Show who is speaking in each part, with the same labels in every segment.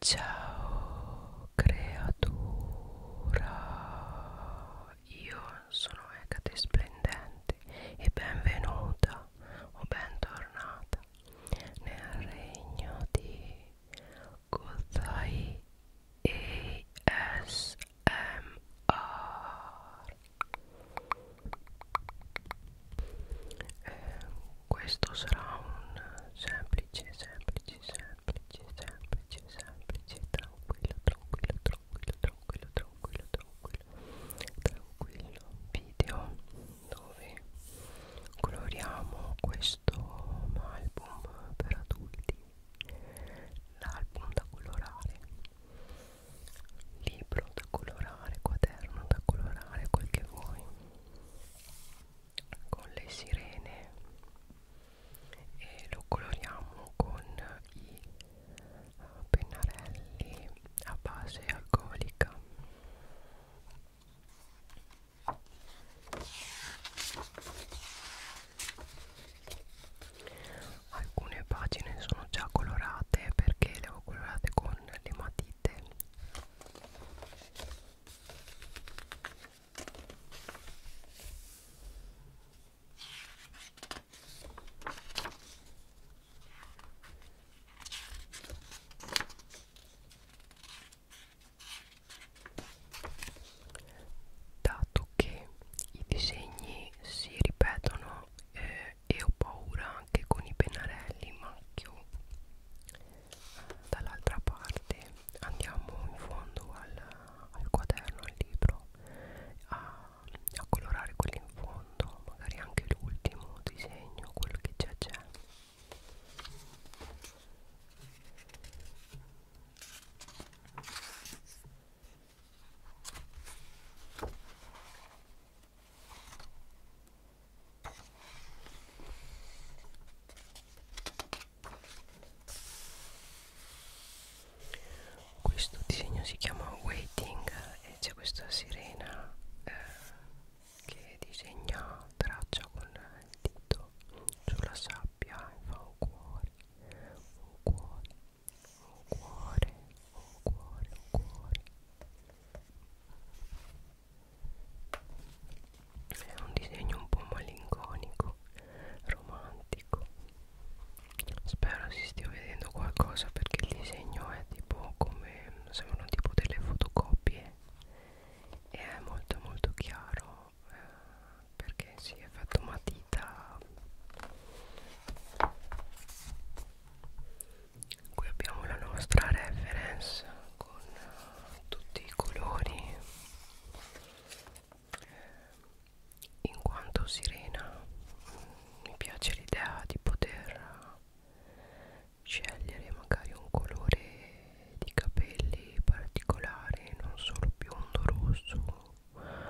Speaker 1: Ciao creatura, io sono Ecate Splendente e benvenuta o bentornata nel regno di Gozai ASMR. Eh, questo sarà un semplice semplice semplice semplice semplice tranquillo tranquillo tranquillo tranquillo tranquillo tranquillo tranquillo video dove coloriamo questo album per adulti l'album da colorare libro da colorare quaderno da colorare quel che vuoi con le sirene e lo coloriamo con i eh, pennarelli a base alcolica alcune pagine sono già colorate perché le ho colorate con le matite Dato che i disegni si ripetono eh, e ho paura anche con i pennarelli in macchio dall'altra parte andiamo in fondo al, al quaderno, al libro a, a colorare quello in fondo magari anche l'ultimo disegno, quello che c'è c'è questo disegno si chiama Waiting e c'è questa sirena eh, che disegna traccia con il dito sulla sabbia e fa un cuore, un cuore, un cuore, un cuore, un cuore è un disegno un po' malinconico romantico spero si stia vedendo qualcosa perché il disegno è tipo come sembrano tipo delle fotocopie e è molto molto chiaro eh, perché si è fatto matita qui abbiamo la nostra reference con uh, tutti i colori in quanto sirena mm, mi piace l'idea di poter scegliere magari un colore di capelli particolare non solo biondo rosso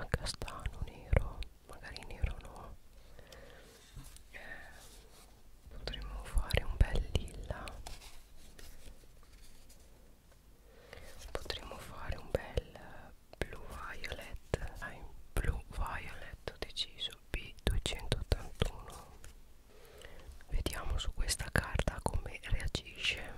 Speaker 1: castano nero magari nero no eh, potremmo fare un bel lilla potremmo fare un bel blu violet hai blu violet ho deciso b281 vediamo su questa carta come reagisce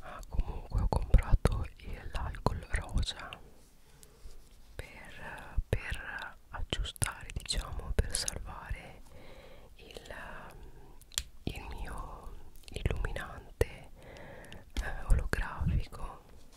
Speaker 1: Ah, comunque ho comprato l'alcol rosa per, per aggiustare, diciamo, per salvare il, il mio illuminante eh, olografico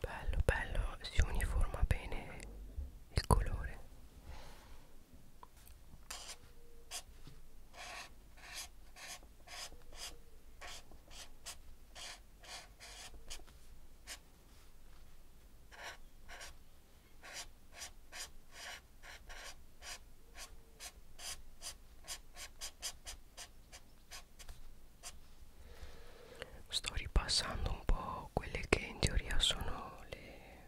Speaker 1: bello bello si uniforma bene il colore sto ripassando un po' quelle che in teoria sono le,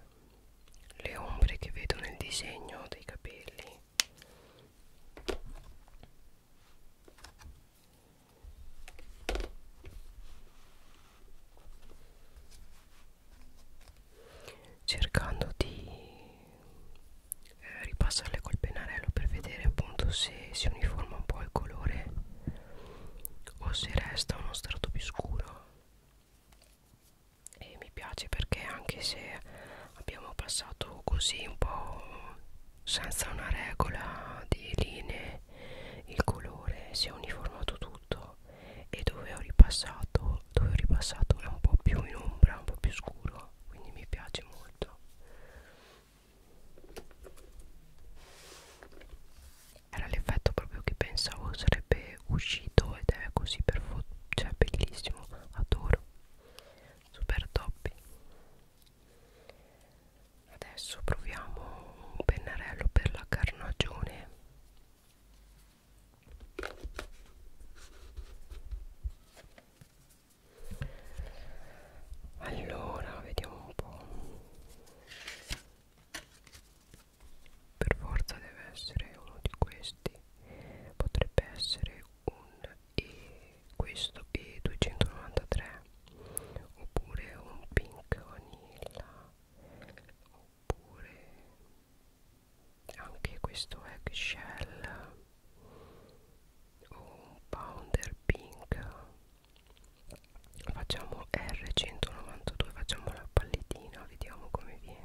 Speaker 1: le ombre che vedo nel disegno dei capelli cercando di eh, ripassarle col pennarello per vedere appunto se si uniforma un po' il colore o se resta uno strato più scuro e mi piace perché anche se abbiamo passato così un po' senza una regola di linee il colore si è uniformato tutto e dove ho ripassato dove ho ripassato è un po' più in ombra un po' più scuro quindi mi piace molto era l'effetto proprio che pensavo sarebbe uscito ed è così per cioè bellissimo adoro super top adesso proviamo un pennarello per la carnagione allora vediamo un po' per forza deve essere uno di questi potrebbe essere un e questo e 293 oppure un pink vanilla oppure anche questo eggshell un pounder pink facciamo R192 facciamo la pallettina vediamo come viene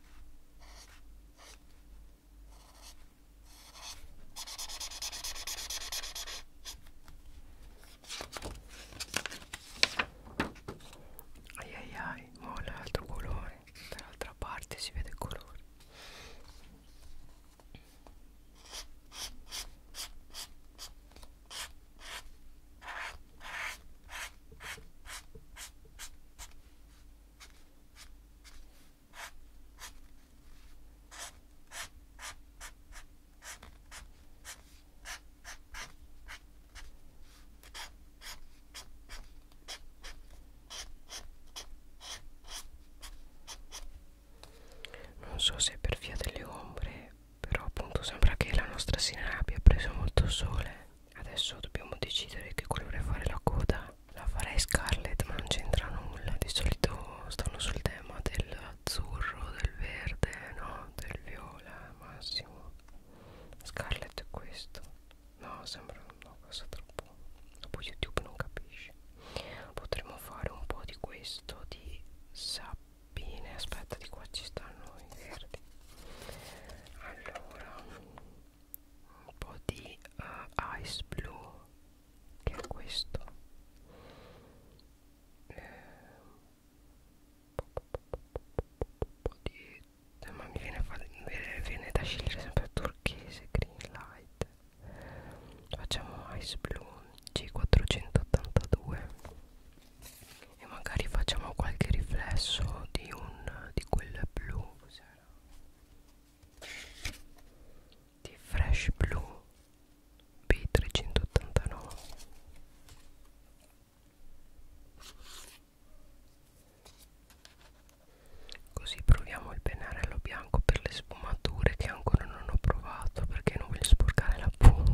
Speaker 1: ai ai ai oh, l'altro colore dall'altra parte si vede il colore non so se è per via delle ombre, però appunto sembra che la nostra sinappi abbia preso molto sole adesso dobbiamo decidere che colore fare la coda la farei scarlet ma non c'entra nulla di solito stanno sul tema dell'azzurro del verde no del viola massimo scarlet è questo no sembra una cosa troppo dopo youtube non capisce potremmo fare un po' di questo di sabbine aspetta di qua ci stanno i verdi allora un po' di uh, ice blue che è questo eh, di, eh, ma mi viene, viene, viene da scegliere sempre turchese green light facciamo ice blue g482 e magari facciamo qualche riflesso di un di quel blu di fresh blue b389 così proviamo il pennarello bianco per le sfumature che ancora non ho provato perché non voglio sporcare la punta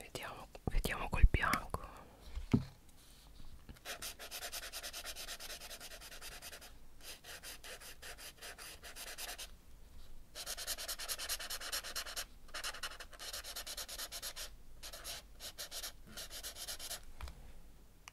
Speaker 1: Vediamo, vediamo col bianco.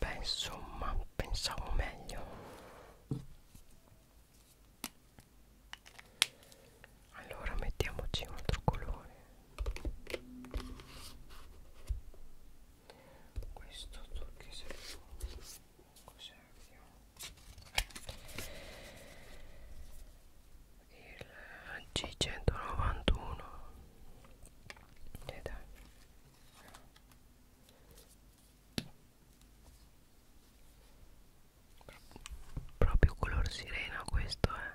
Speaker 1: Beh, insomma, pensavo meglio. Allora mettiamoci un altro colore. Questo che serve? Cos'è? il G191 e dai proprio color sirena questo è eh.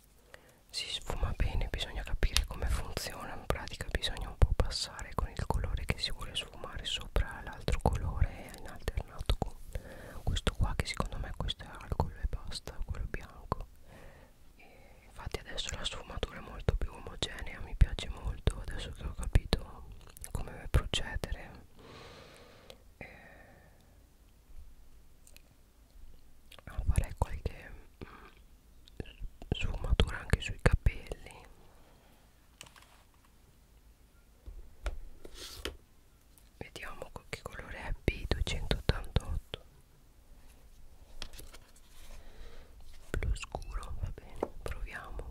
Speaker 1: si sfuma bene bisogna capire come funziona in pratica bisogna un po' passare con il colore che si vuole sfumare sopra l'altro colore in alternato con questo qua che secondo me questo è alcol e basta quello bianco e infatti adesso la sfumatura è molto più omogenea mi piace molto adesso che ho capito come procedere eh, a fare qualche mm, sfumatura anche sui capelli vediamo che colore è B288 blu scuro va bene proviamo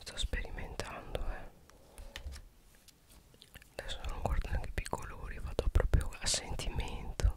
Speaker 1: Sto sperimentando, eh. Adesso non guardo neanche più i colori, vado proprio a sentimento.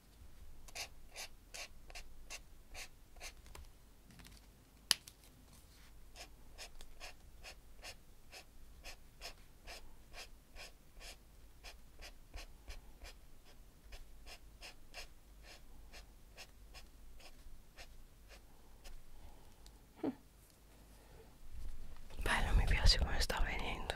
Speaker 1: Bueno, mi piace cómo está veniendo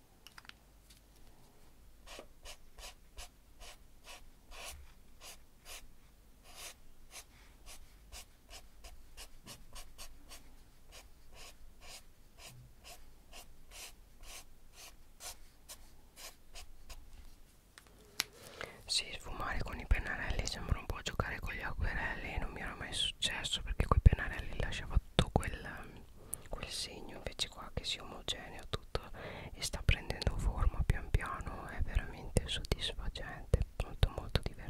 Speaker 1: Sì, sfumare con i pennarelli sembra un po' giocare con gli acquerelli, non mi era mai successo perché coi pennarelli lasciava tutto quel quel segno invece qua che si omogenea tutto e sta prendendo forma pian piano è veramente soddisfacente molto molto divertente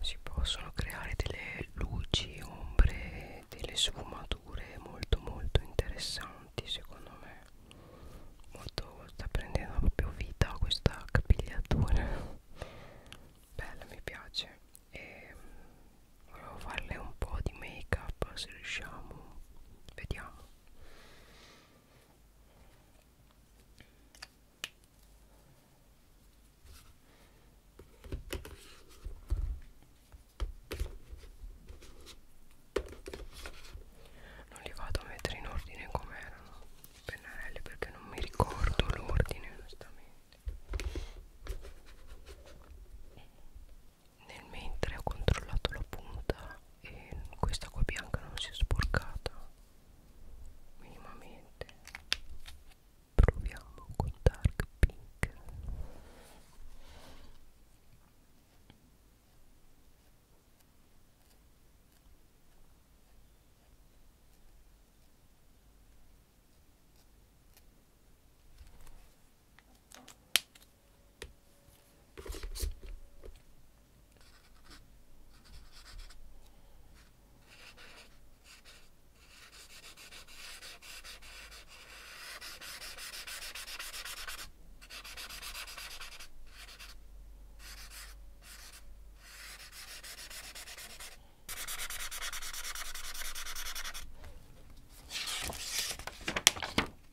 Speaker 1: si possono creare delle luci, ombre, delle sfumature molto molto interessanti secondo me molto sta prendendo proprio vita questa capigliatura bella mi piace e ehm, volevo farle un po' di make up se riusciamo vediamo non li vado a mettere in ordine come erano i pennarelli perché non mi ricordo l'ordine onestamente nel mentre ho controllato la punta e questa qua bianca non si è sporcata minimamente proviamo con Dark Pink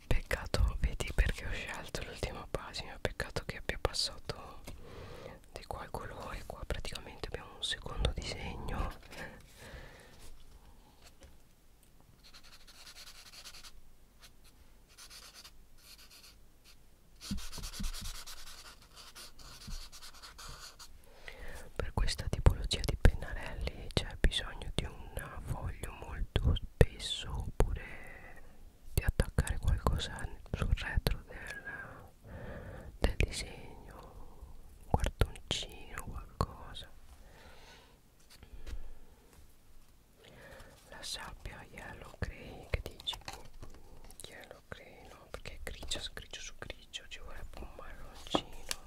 Speaker 1: Peccato, vedi perché ho scelto l'ultima pagina, peccato che abbia passato di qua il colore, qua praticamente abbiamo un secondo disegno per questa tipologia di pennarelli c'è bisogno di un foglio molto spesso oppure di attaccare qualcosa sul retro del del disegno un quartoncino qualcosa la sabbia yellow grey che dici yellow grey no perché è grigio, grigio su grigio ci vorrebbe un marroncino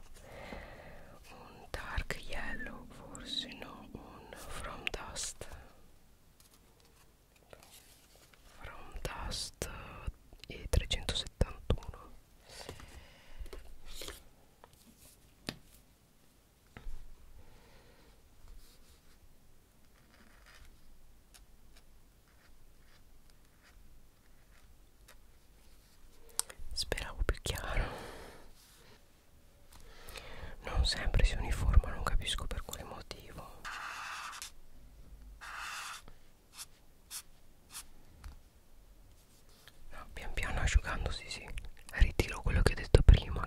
Speaker 1: un dark yellow forse no un from dust from dust e eh, 371 Speravo più chiaro. Non sempre si uniforma, non capisco per quale motivo no, pian piano asciugandosi sì ritiro quello che ho detto prima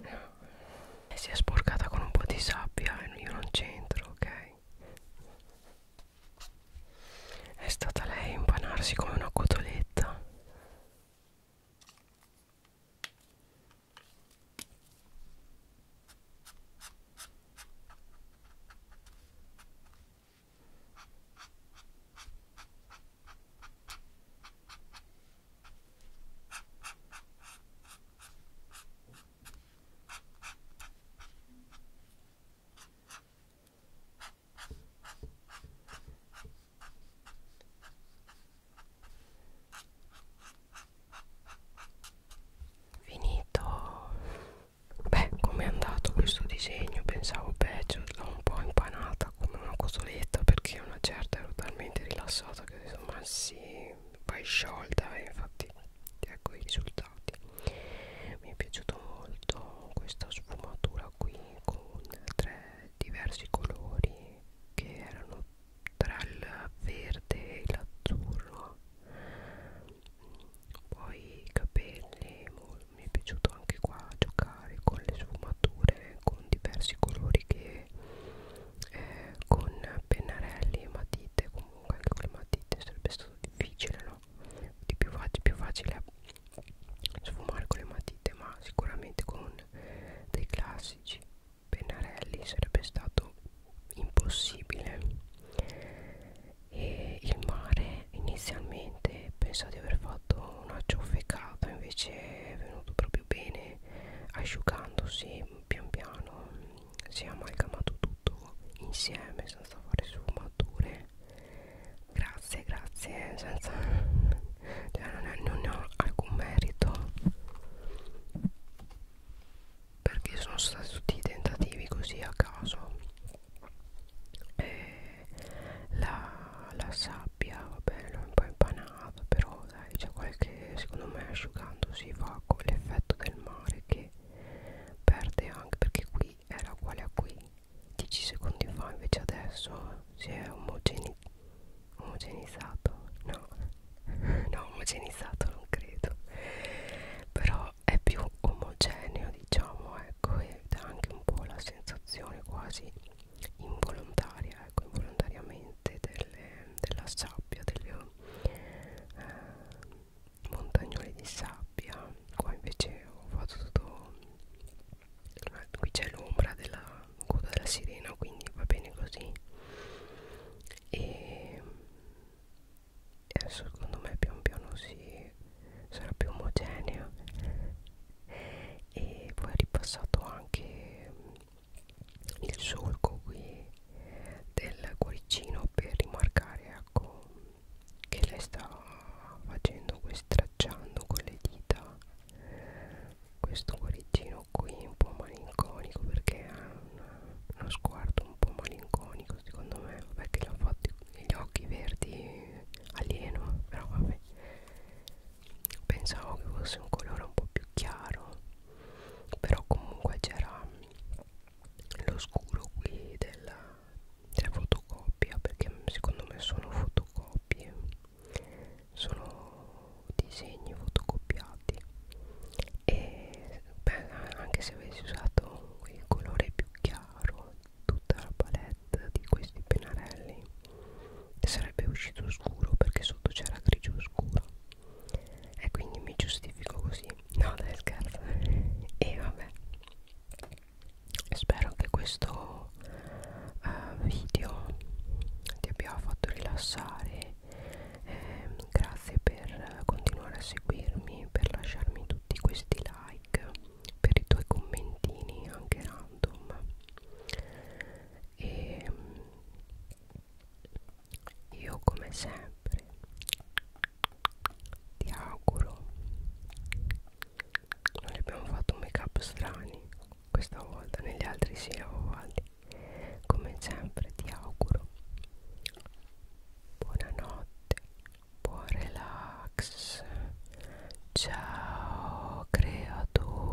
Speaker 1: e eh, si è sporcata con un po' di sabbia e io non c'entro, ok? È stata lei a impanarsi come una cotoletta. Finito. Beh, com'è andato questo disegno? Pensavo peggio, l'ho un po' impanata come una cosoletta perché una certa ero talmente rilassata che ho detto ma sì e poi sciolta e eh, infatti ecco i risultati mi è piaciuto molto questa sfumatura qui con tre diversi colori che erano tra il verde e l'azzurro poi i capelli mi è piaciuto anche qua giocare con le sfumature con diversi colori che eh, con pennarelli e matite comunque anche con le matite sarebbe stato difficile no di più, più facile sfumare con le matite ma sicuramente con dei classici pennarelli sarebbe stato impossibile e il mare inizialmente pensavo di aver fatto una ciofecata invece è venuto proprio bene asciugandosi pian piano si è amalgamato tutto insieme senza fare sfumature grazie grazie senza cioè non, è, non ne ho alcun merito perché sono stati tutti tentativi così a caso eh, la, la sabbia va bene l'ho un po' impanata però dai c'è qualche secondo me asciugando si fa con l'effetto del mare che perde anche perché qui era uguale a qui 10 secondi fa invece adesso si è omogene omogenizzato no no omogenizzato non credo però è più omogeneo diciamo ecco e dà anche un po' la sensazione quasi involontaria ecco involontariamente delle, della sabbia delle, eh, montagnole di sabbia qua invece ho fatto tutto eh, qui c'è l'ombra della coda della sirena quindi va bene così e adesso secondo me pian piano si sarà più omogenea e poi ho ripassato anche il solco qui del cuoricino per rimarcare ecco che lei sta facendo stracciando con le dita questo cuoricino qui un po' malinconico perché ha uno sguardo un po' malinconico secondo me vabbè che l'ha fatto gli occhi verdi alieno però vabbè pensavo che fosse un colore un po' più chiaro però comunque c'era lo scuro qui della, della fotocopia perché secondo me sono fotocopie sono disegni fotocopiati e beh, anche se avessi usato il colore più chiaro tutta la palette di questi pennarelli sarebbe uscito scuro perché sotto c'era grigio scuro e quindi mi giustifico così no dai scherzo e vabbè spero che questo uh, video ti abbia fatto rilassare eh, grazie per continuare a seguirmi per lasciarmi tutti questi like per i tuoi commentini anche random e ehm, io come sempre ti auguro non abbiamo fatto make up strani questa volta negli altri si sì, uguali come sempre ti auguro buonanotte buon relax ciao creatura